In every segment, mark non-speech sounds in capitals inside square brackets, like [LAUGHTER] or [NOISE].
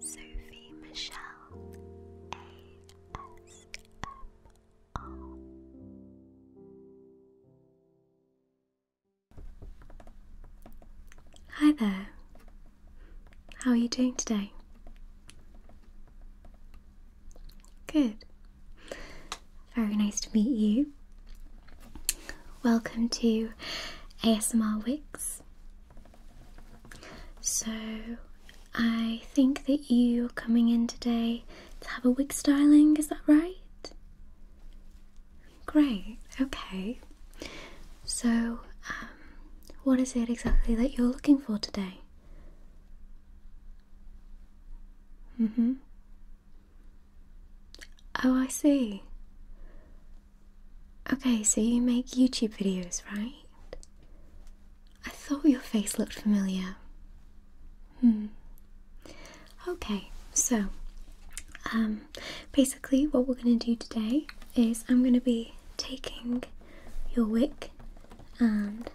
Sophie Michelle ASMR. Hi there. How are you doing today? Good. Very nice to meet you. Welcome to ASMR Wix. So, I think that you're coming in today to have a wig styling, is that right? Great, okay. So, um, what is it exactly that you're looking for today? Mm hmm. Oh, I see. Okay, so you make YouTube videos, right? I thought your face looked familiar. Hmm. Okay, so um, basically, what we're going to do today is I'm going to be taking your wig and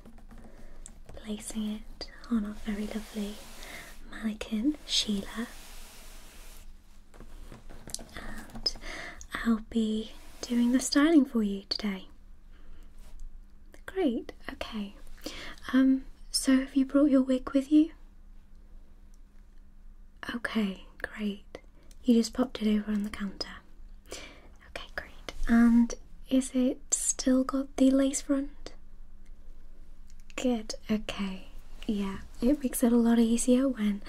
placing it on our very lovely mannequin Sheila and I'll be doing the styling for you today. Great, okay. Um, so have you brought your wig with you? Okay, great. You just popped it over on the counter. Okay, great. And is it still got the lace front? Good, okay. Yeah, it makes it a lot easier when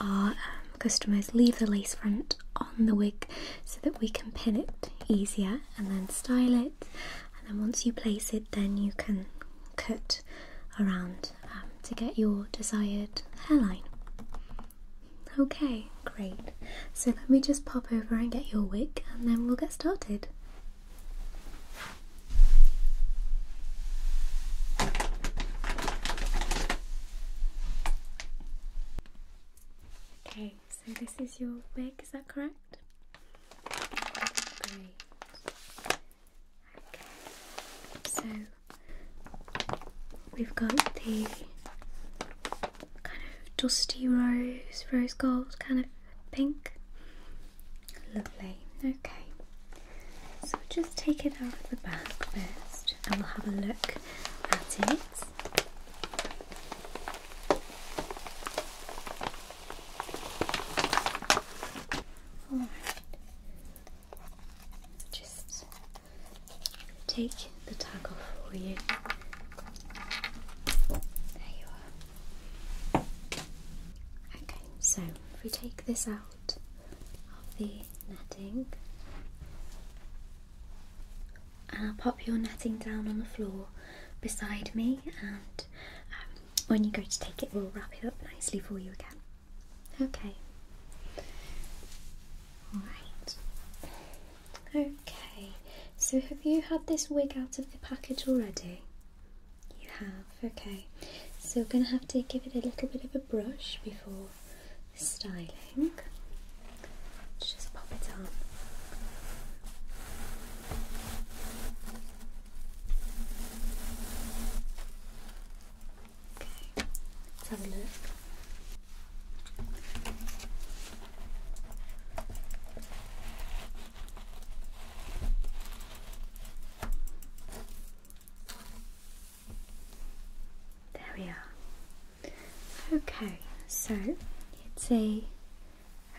our um, customers leave the lace front on the wig so that we can pin it easier and then style it and then once you place it then you can cut around um, to get your desired hairline okay great so let me just pop over and get your wig and then we'll get started Okay, so this is your wig, is that correct? Great. Okay, so we've got the kind of dusty rose, rose gold kind of pink. Lovely, okay. So just take it out of the bag first and we'll have a look at it. Just take the tag off for you. There you are. Okay, so if we take this out of the netting and I'll pop your netting down on the floor beside me and um, when you go to take it we'll wrap it up nicely for you again. Okay. Alright. Okay, so have you had this wig out of the package already? You have okay so we're going to have to give it a little bit of a brush before styling just pop it on okay let's have a look there we are. Okay, so it's a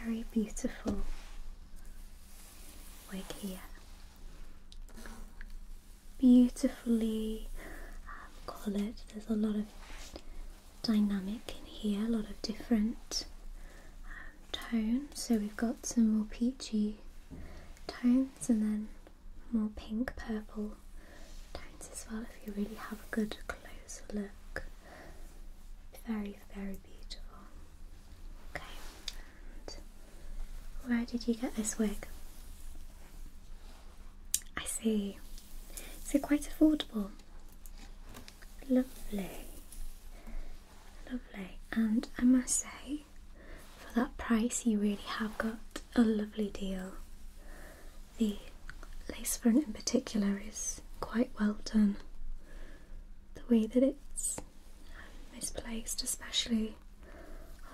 very beautiful wig here. Beautifully um, coloured. There's a lot of dynamic in here, a lot of different um, tones. So we've got some more peachy tones and then more pink purple tones as well if you really have a good closer look. Very, very beautiful. Okay, where did you get this wig? I see. So quite affordable? Lovely. Lovely. And I must say, for that price, you really have got a lovely deal. The lace front, in particular, is quite well done. The way that it's misplaced, especially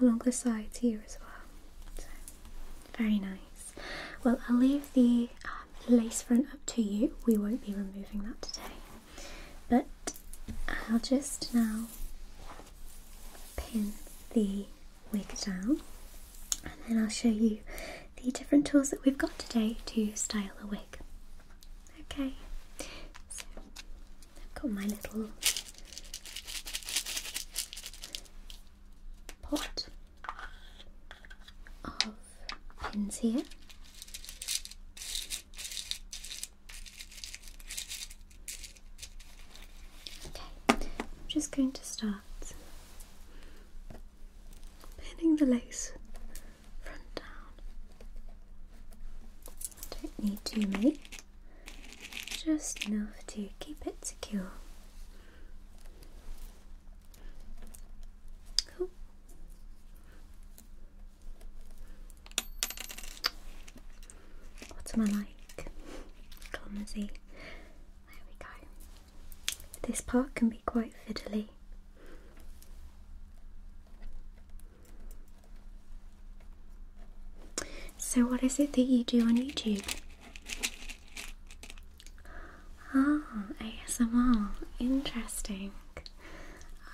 along the sides here as well. So, very nice. Well, I'll leave the lace front up to you. We won't be removing that today. But I'll just now pin the wig down and then I'll show you the different tools that we've got today to style a wig. Okay, so I've got my little pot of pins here Okay, I'm just going to start pinning the lace front down. Don't need too many, just enough to keep it secure. Cool. What am I like? Clumsy. There we go. This part can be quite fiddly. So, what is it that you do on YouTube? Ah, ASMR. Interesting.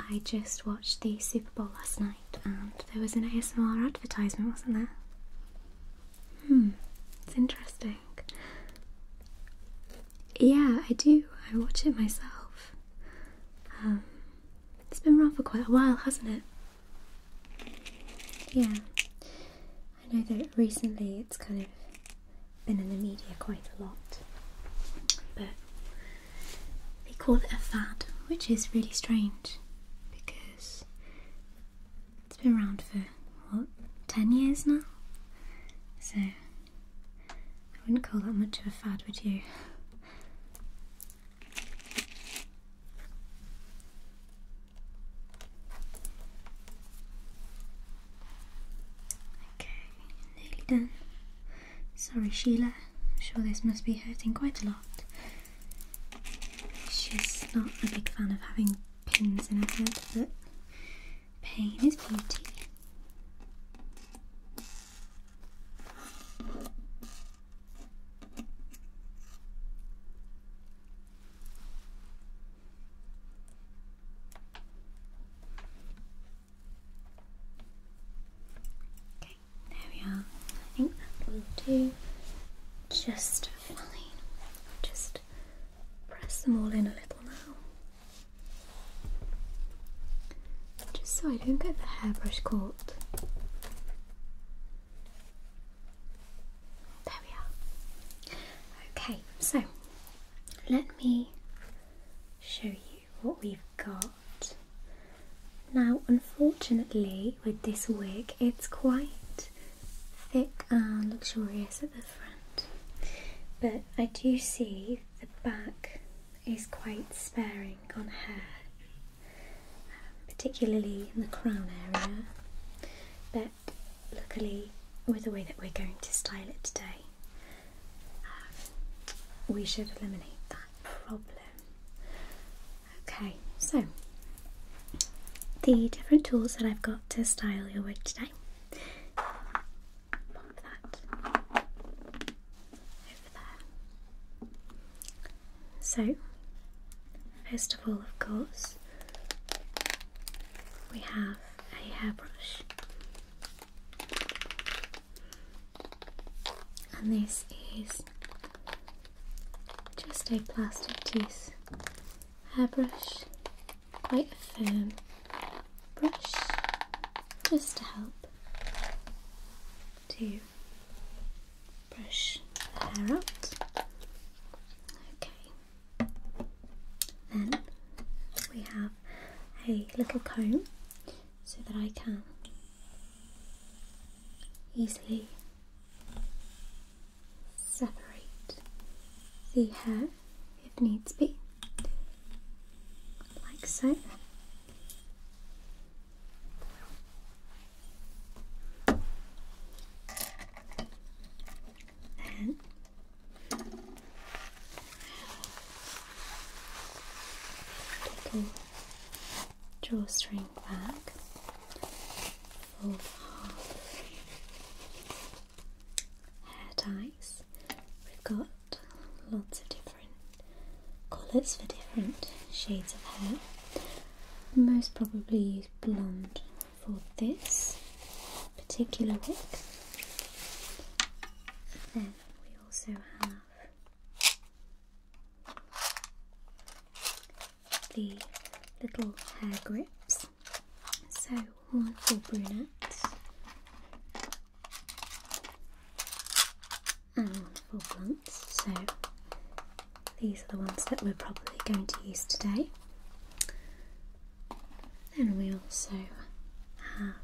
I just watched the Super Bowl last night and there was an ASMR advertisement, wasn't there? Hmm, it's interesting. Yeah, I do. I watch it myself. Um, it's been around for quite a while, hasn't it? Yeah, I know that recently it's kind of been in the media quite a lot, but they call it a fad, which is really strange because it's been around for what 10 years now so I wouldn't call that much of a fad would you okay nearly done sorry Sheila I'm sure this must be hurting quite a lot. She's not a big fan of having pins in her head, but pain is beauty. Okay. There we are. I think that will do just fine. just press them all in a little now. Just so I don't get the hairbrush caught. There we are. Okay, so let me show you what we've got. Now, unfortunately, with this wig, it's quite thick and luxurious at the front, but I do see the back is quite sparing on hair, um, particularly in the crown area. But luckily, with the way that we're going to style it today, um, we should eliminate that problem. Okay, so the different tools that I've got to style your wig today. Pop that over there. So, first of all, of course, we have a hairbrush. And this is just a plastic tooth hairbrush, quite a firm brush, just to help to brush the hair out. Okay, then we have a little comb so that I can easily separate the hair if needs be, like so. little drawstring hair ties. We've got lots of different colours for different shades of hair. Most probably use blonde for this particular wig. Then we also have the little hair grips. So one for brunettes and one for blunts. So these are the ones that we're probably going to use today. Then we also have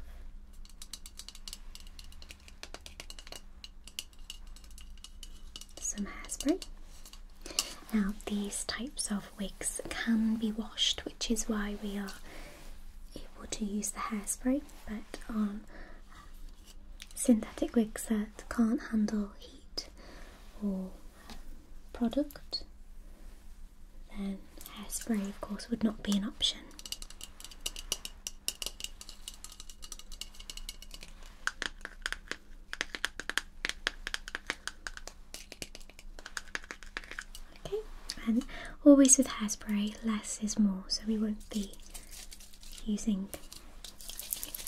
some hairspray. Now, these types of wigs can be washed, which is why we are able to use the hairspray, but on um, synthetic wigs that can't handle heat or product, then hairspray, of course, would not be an option. Okay, and always with hairspray, less is more, so we won't be using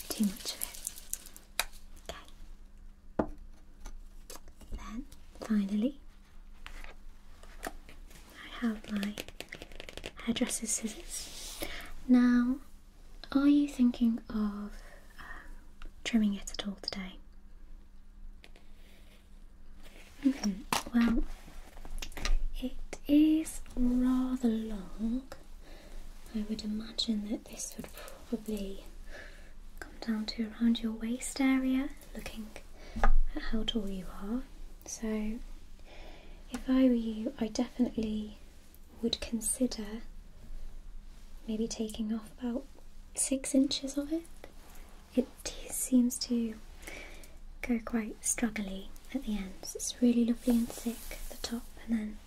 too much of it. Okay. Then finally, I have my hairdresser's scissors. Now, are you thinking of um, trimming it at all today? Well, it is rather long. I would imagine that this would probably come down to around your waist area, looking at how tall you are. So, if I were you, I definitely would consider maybe taking off about six inches of it. It seems to go quite struggly at the ends. It's really lovely and thick at the top and then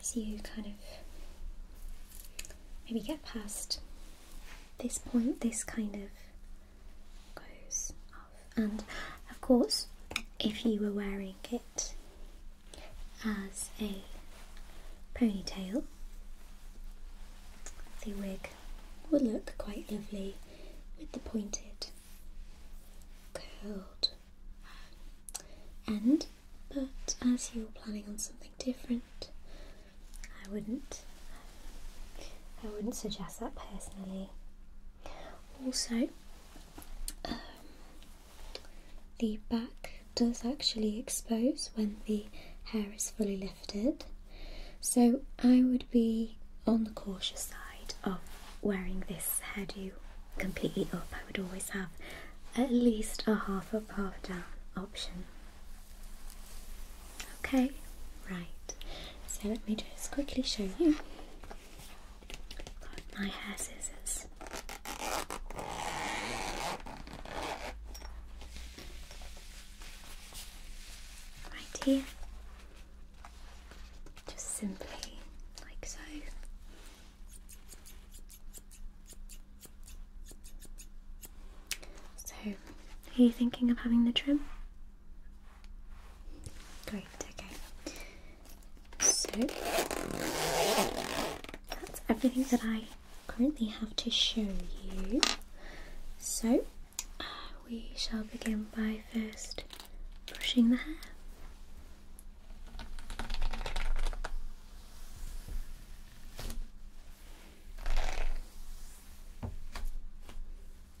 as you kind of maybe get past this point, this kind of goes and of course, if you were wearing it as a ponytail, the wig would look quite lovely with the pointed, curled end. But as you're planning on something different, I wouldn't. I wouldn't suggest that personally. Also, um, the back does actually expose when the hair is fully lifted, so I would be on the cautious side of wearing this hairdo completely up. I would always have at least a half up, half down option. Okay, right, so let me just quickly show you my hair scissors. Right here. Just simply like so. So, are you thinking of having the trim? Great, okay. So that's everything that I currently have to show you. So uh, we shall begin by first brushing the hair.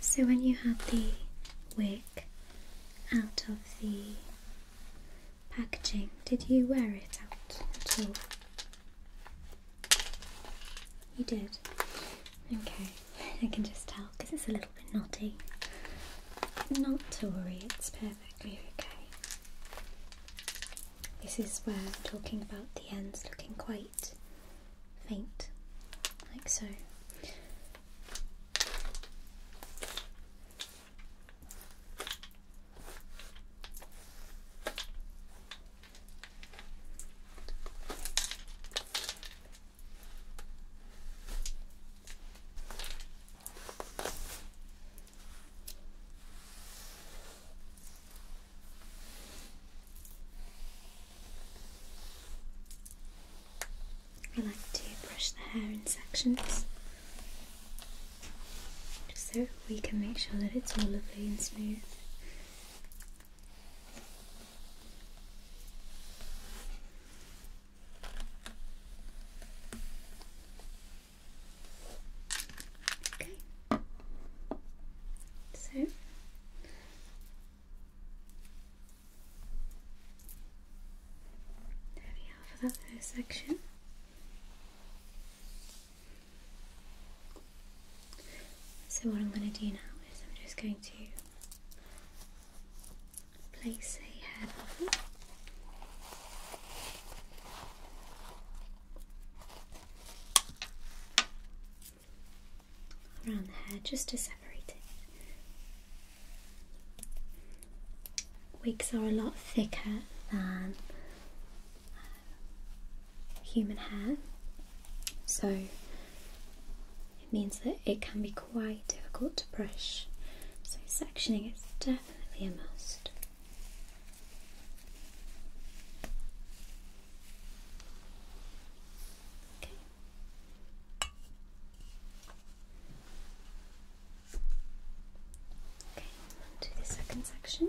So, when you had the wig out of the packaging, did you wear it out at all? You did? Okay, [LAUGHS] I can just tell because it's a little bit knotty. Not to worry, it's perfectly okay. This is where talking about the ends looking quite faint, like so. I like to brush the hair in sections so we can make sure that it's all lovely and smooth Okay. So there we are for that first section. So, what I'm going to do now is I'm just going to place a hair Around the hair just to separate it. Wigs are a lot thicker than human hair, so it means that it can be quite difficult to brush. So, sectioning is definitely a must. Okay. Okay, on the second section.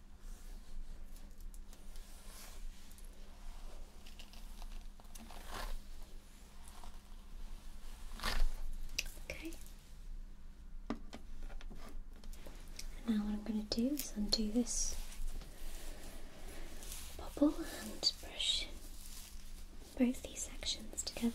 Okay. now what I'm going to do is undo this bubble and brush both these sections together.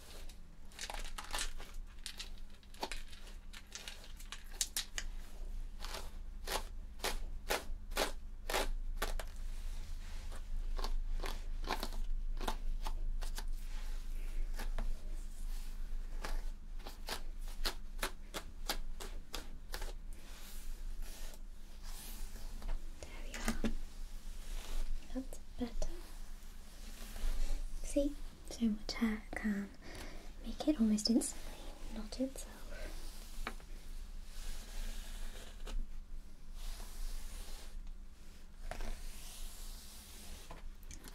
There we are. That's better. See, so much hair can make it almost instantly knot itself.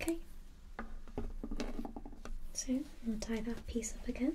Okay, so we'll tie that piece up again.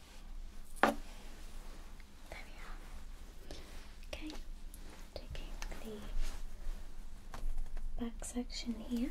There we are. Okay, taking the back section here.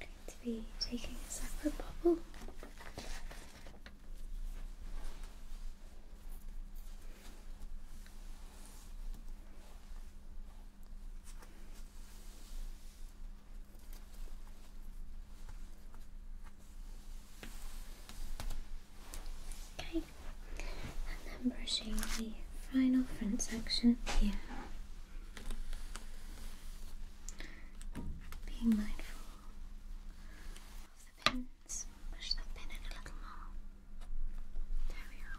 I'm going to be taking a separate bubble. Okay, and then brushing the final front section here being mindful of the pins. Push that pin in a little more. There we are.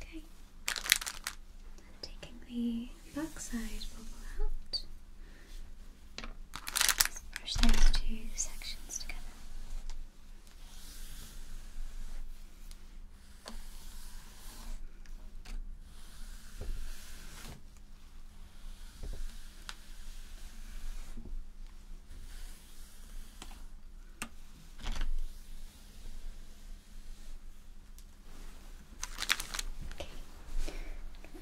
Okay. And taking the backside bubble out. Let's brush those two sections together.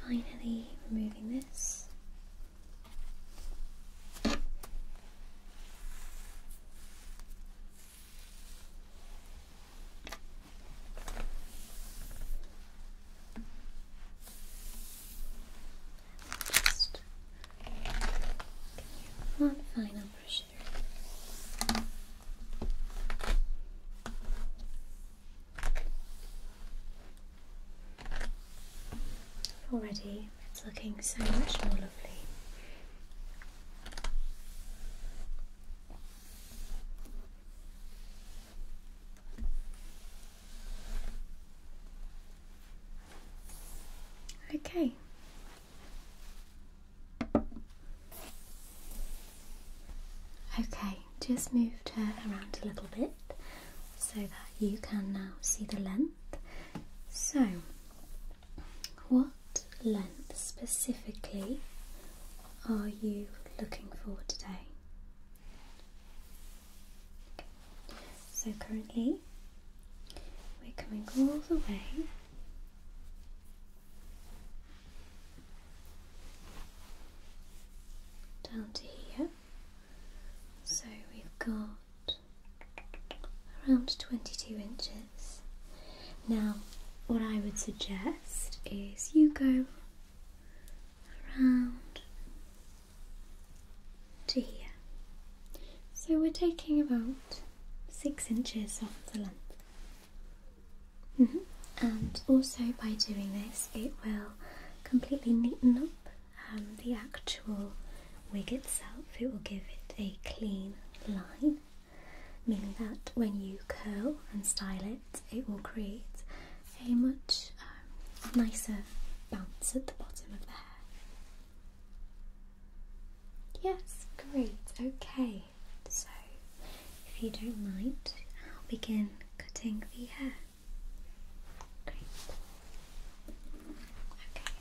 Finally, removing this. Just one final brush Already, it's looking so much more lovely. Okay. Okay, just moved her around a little bit so that you can now see the length. So, what length specifically are you looking for today? So currently we're coming all the way down to here. So we've got around 22 inches. Now, what I would suggest is you go around to here. So we're taking about six inches off the length. Mm-hmm. And also by doing this, it will completely neaten up um, the actual wig itself. It will give it a clean line meaning that when you curl and style it, it will create a much um, nicer bounce at the bottom of the hair. Yes, great, okay. So, if you don't mind, I'll begin cutting the hair. Great. Okay.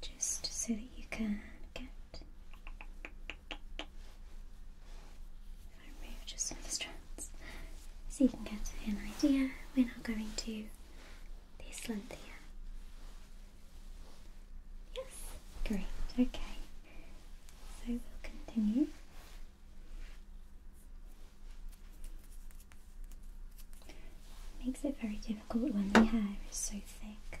just so that you can get if I remove just some strands so you can get an idea. We're not going to this length here. Yes, great, okay. So we'll continue. Makes it very difficult when the hair is so thick.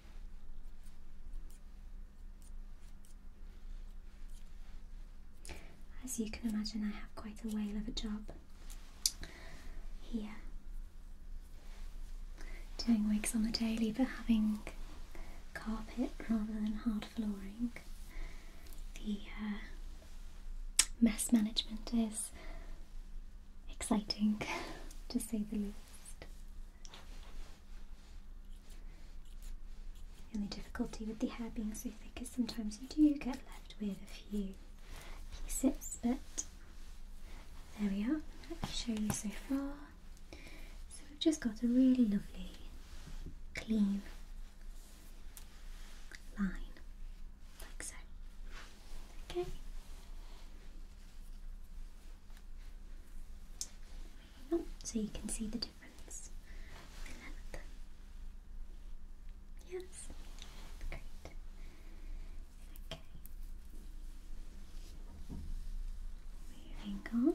As you can imagine, I have quite a whale of a job here. Doing wigs on the daily, but having carpet rather than hard flooring. The uh, mess management is exciting, [LAUGHS] to say the least. The only difficulty with the hair being so thick is sometimes you do get left with a few pieces, but there we are. Let me show you so far. So we've just got a really lovely, clean line, like so. Okay so you can see the difference. Yes. Great. Okay. Moving on.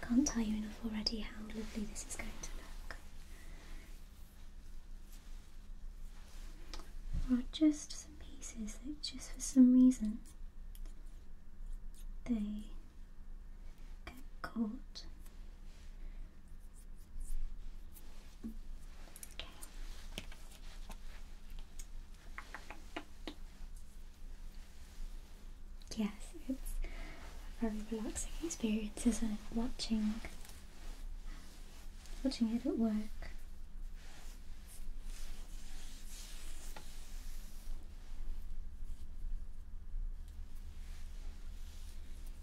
I can't tell you enough already how lovely this is going to look. There are just some pieces that just for some reason they get caught Yes, it's very relaxing experience, isn't it? Watching, watching it at work.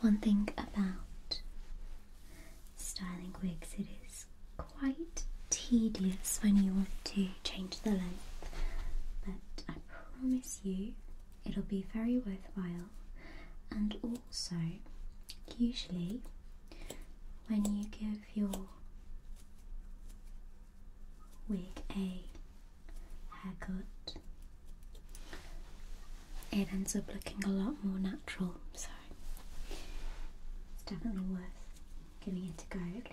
One thing about styling wigs, it is quite tedious when you want to change the length, but I promise you it'll be very worthwhile. And also, usually, when you give your with a haircut. It ends up looking a lot more natural, so it's definitely worth giving it a go at least.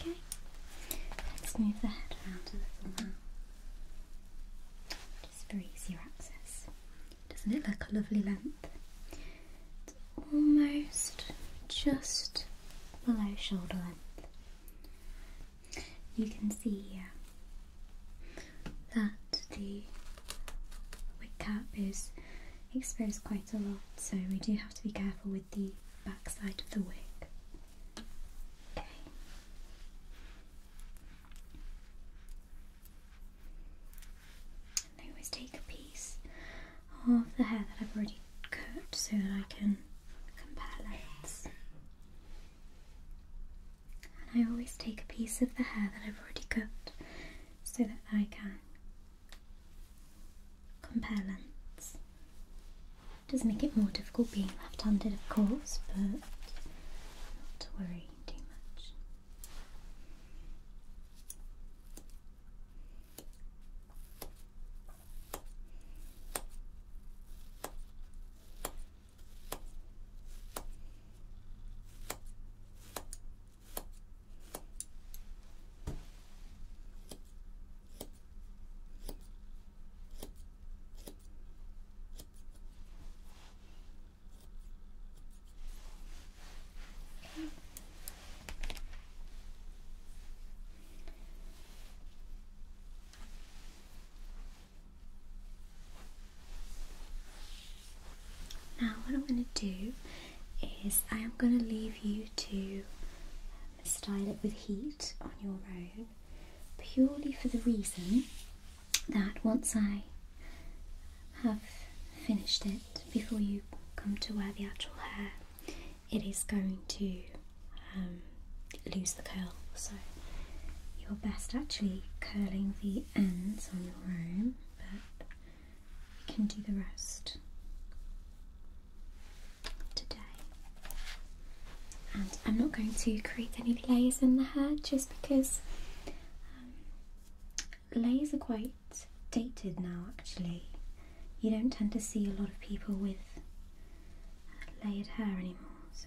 Okay, let's move the head around a little now. Just for easier access. Doesn't it look a lovely length? It's almost just below shoulder length. You can see here that the wig cap is exposed quite a lot, so we do have to be careful with the back of the wig. I always take a piece of the hair that I've already cut so that I can compare lengths. I always take a piece of the hair that I've already cut so that I can compare lengths does make it more difficult being left-handed, of course, but not to worry too much. Now, what I'm going to do is I am going to leave you to style it with heat on your own purely for the reason that once I have finished it before you come to wear the actual hair it is going to um, lose the curl so you're best actually curling the ends on your own but you can do the rest today. And I'm not going to create any layers in the hair just because um, layers are quite dated now actually. You don't tend to see a lot of people with uh, layered hair anymore. So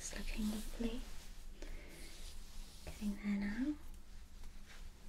It's looking lovely. Getting there now.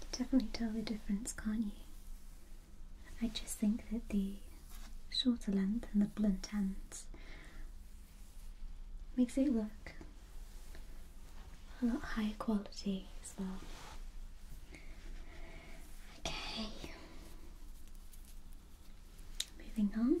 You definitely tell the difference, can't you? I just think that the shorter length and the blunt ends makes it look a lot higher quality as well. Okay, moving on.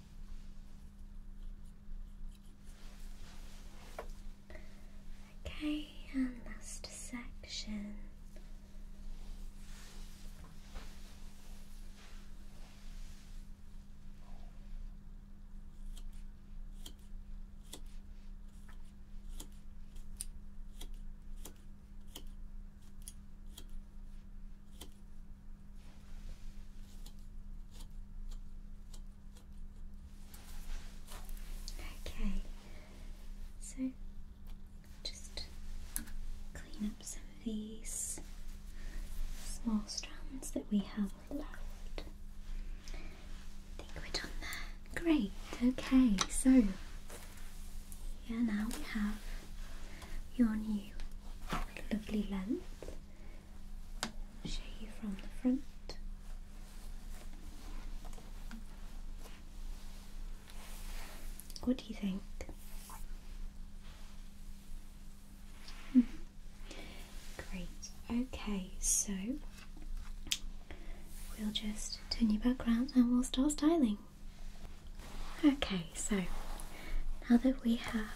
Okay, and last section. Okay, so just clean up some of these small strands that we have left. I think we're done there. Great, okay, so yeah, now we have your new lovely length show you from the front. What do you think? [LAUGHS] Great. Okay, so we'll just turn you back around and we'll start styling. Okay, so now that we have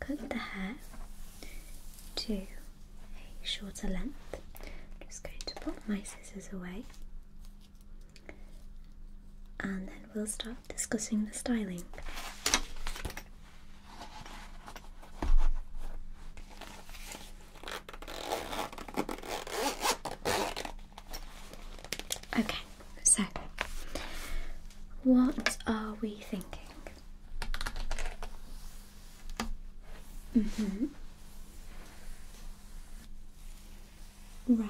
cut the hair to a shorter length. I'm just going to pop my scissors away and then we'll start discussing the styling. Okay, so what are we thinking? Mm-hmm. Right.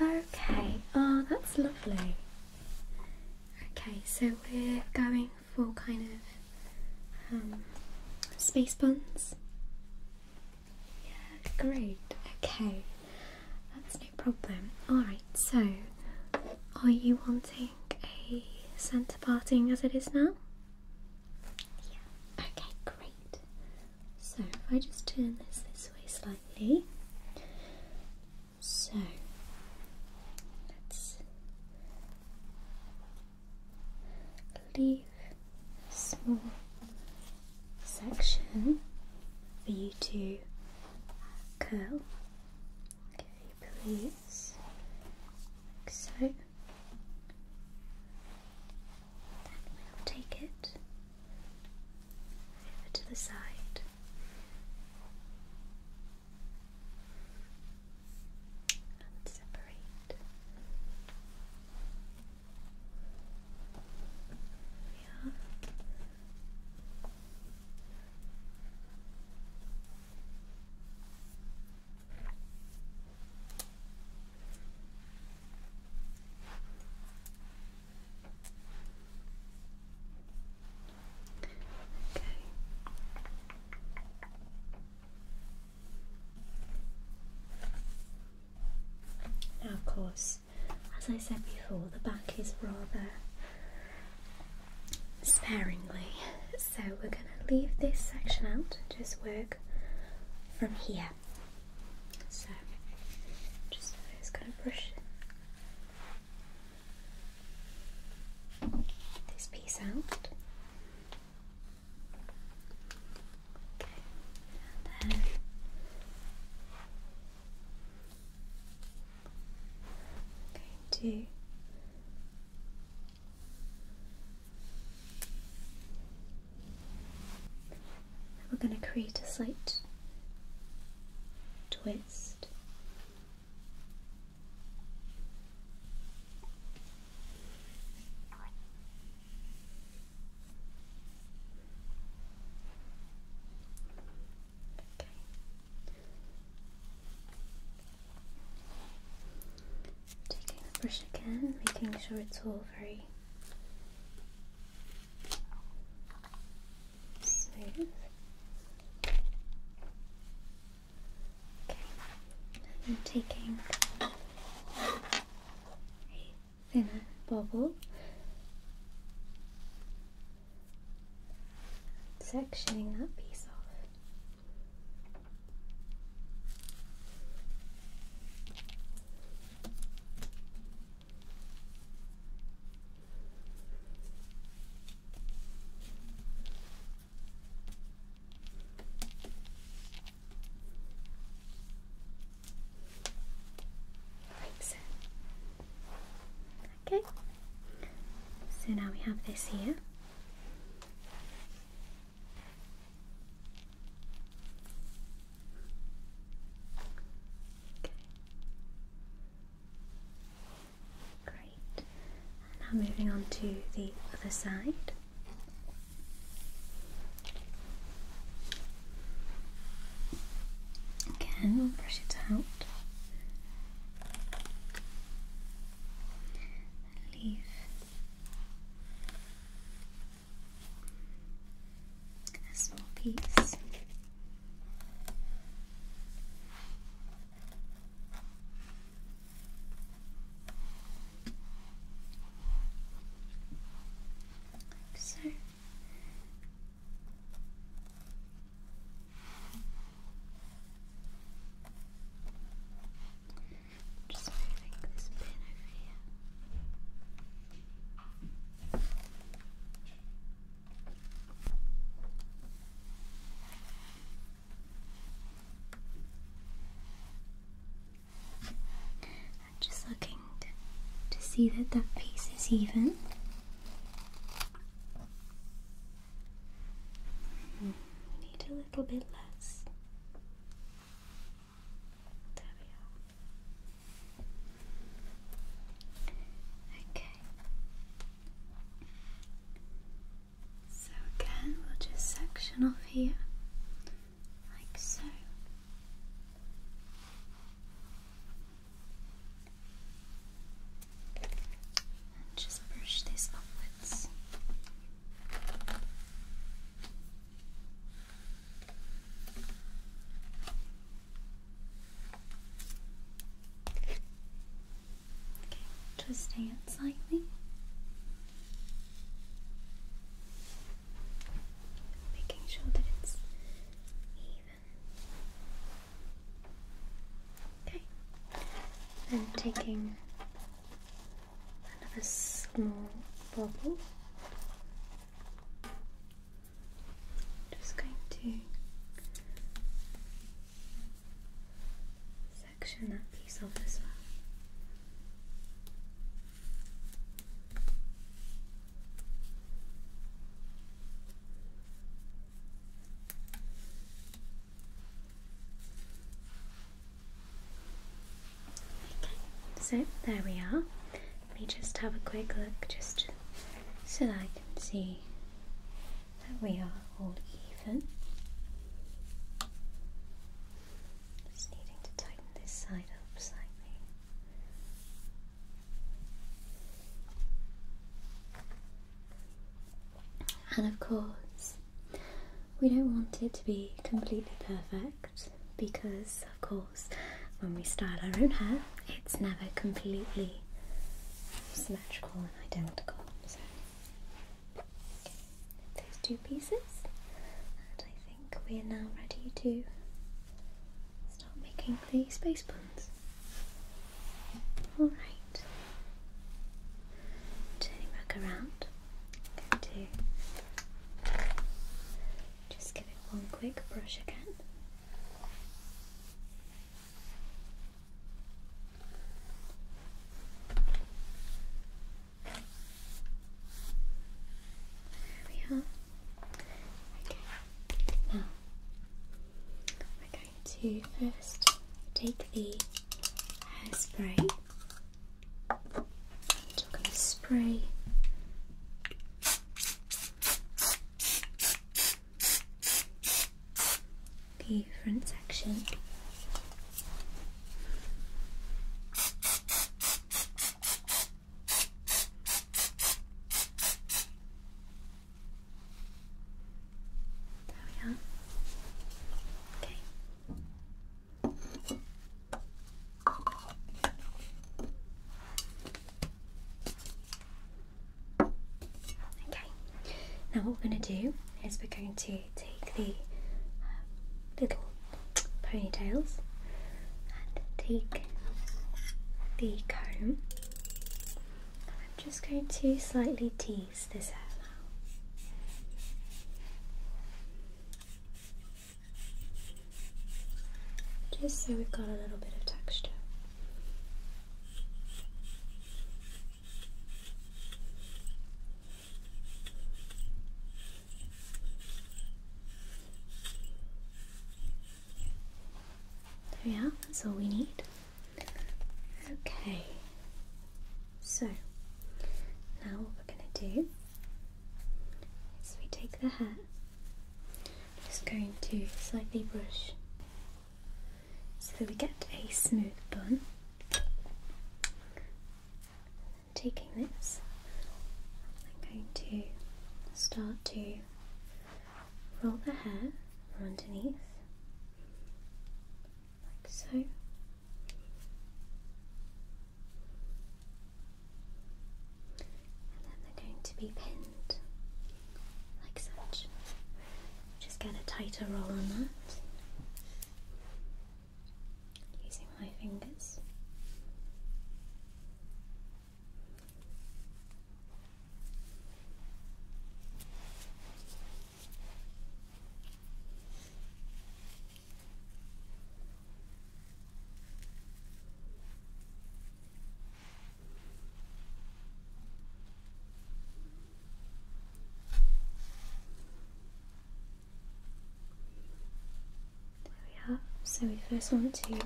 Okay, oh that's lovely. Okay, so we're going for kind of um, space buns. Yeah, great. Okay. That's no problem. Alright, so are you wanting a centre parting as it is now? Yeah. Okay, great. So if I just turn this this way slightly. So let's leave a small section for you to curl Okay, please. Like so. Then we'll take it over to the side. And separate. There now, of course, as I said before, the back is rather sparingly. So we're going to leave this section out just work from here. So just, just going brush this piece out. Okay, and then we're going to create a slight twist Taking the brush again, making sure it's all very smooth. Okay. I'm taking a thinner bubble sectioning that piece off. Like so. Okay, so now we have this here. Great. now moving on to the other side. Again, we'll brush it out. leave a small piece. Like so, just moving this pin over here. I'm just looking to, to see that that piece is even. We need a little bit less. Okay. So again, we'll just section off here, like so just brush this upwards. Okay, twisting it slightly. Making sure that it's even. Okay. Then taking another small bubble. Just going to section that piece off as well. Okay, so there we are. Let me just have a quick look just so that I can see that we are all even. Just needing to tighten this side up slightly. And of course, we don't want it to be completely perfect because, of course, when we style our own hair, it's never completely symmetrical and identical. So, those two pieces, and I think we're now ready to start making the space buns. All right. Turning back around, going to just give it one quick brush again. There we are. Now, we're going to first take the hairspray and we're going to spray the front section. There we are. Okay. Okay, now what we're going to do is we're going to take the um, little ponytails and take the comb I'm just going to slightly tease this out now. Just so we've got a little bit of texture. There we are, that's all we need. Okay, so now what we're going to do is we take the hat. just going to slightly brush so that we get a smooth bun. Taking this, I'm going to start to roll the hair underneath, like so. And then they're going to be pinned like such. Just get a tighter roll on that using my fingers. So we first want to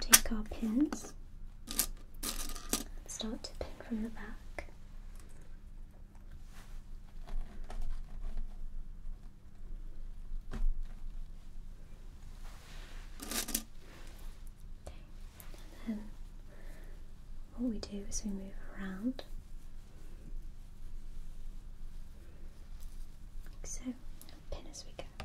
take our pins start to pin from the back. And then what we do is we move around so, pin as we go.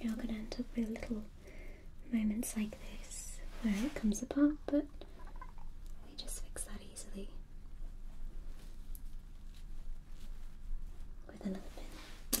You're going to end up with little moments like this where it comes apart, but we just fix that easily with another pin.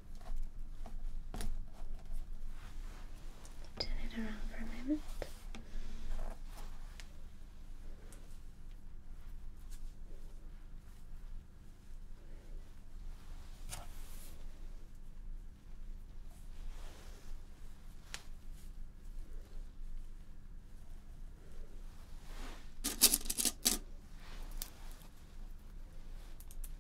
Turn it around for a moment.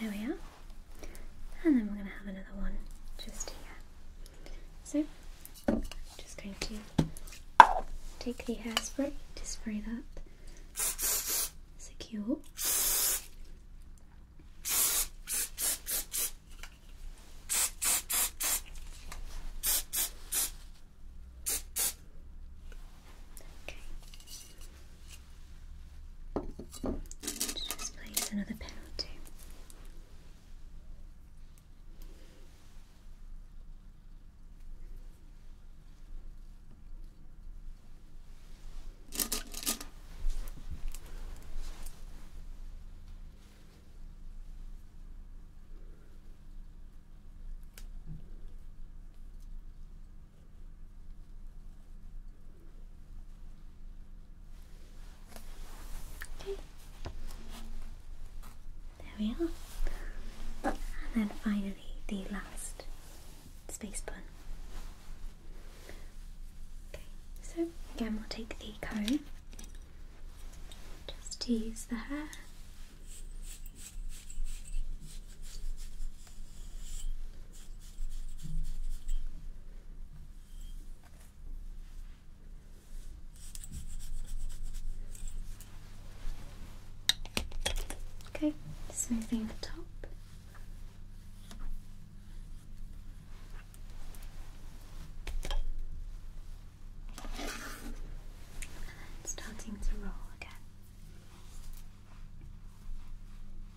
There we are. And then we're going to have another one just here. So just going to take the hairspray to spray that secure. Okay. Just place another pen or there we are. And then finally the last space bun. Okay, so again we'll take the comb just to use the hair. Okay, smoothing the top. And starting to roll again.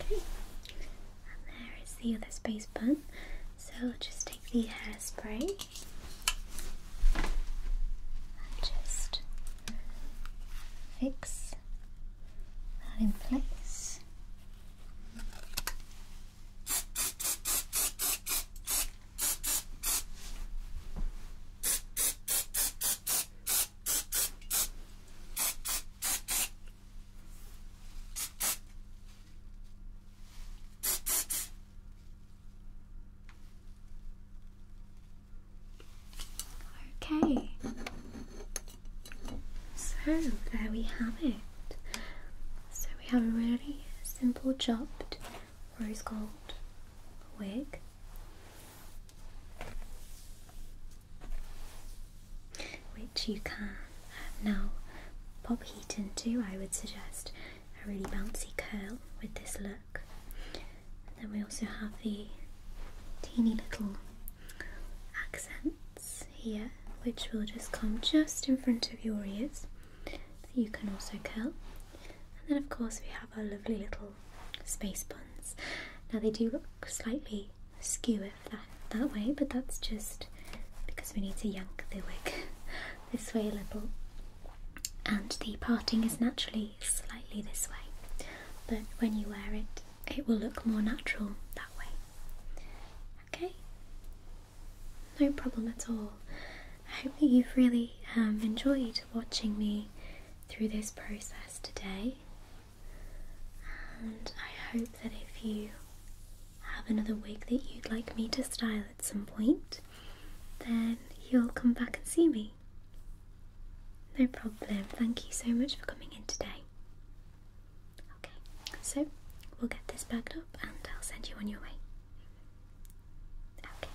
Okay, and there is the other space button. So just take the hairspray and just fix that in place. Okay, so there we have it. So we have a really simple chopped rose gold wig. Which you can now pop heat into. I would suggest a really bouncy curl with this look. And then we also have the teeny little accents here, which will just come just in front of your ears that you can also curl. And then, of course, we have our lovely little space buns. Now, they do look slightly skewer that, that way, but that's just because we need to yank the wig [LAUGHS] this way a little. And the parting is naturally slightly this way, but when you wear it, it will look more natural that way. Okay? No problem at all. I hope that you've really um, enjoyed watching me through this process today, and I hope that if you have another wig that you'd like me to style at some point, then you'll come back and see me. No problem. Thank you so much for coming in today. Okay, so we'll get this bagged up and I'll send you on your way. Okay.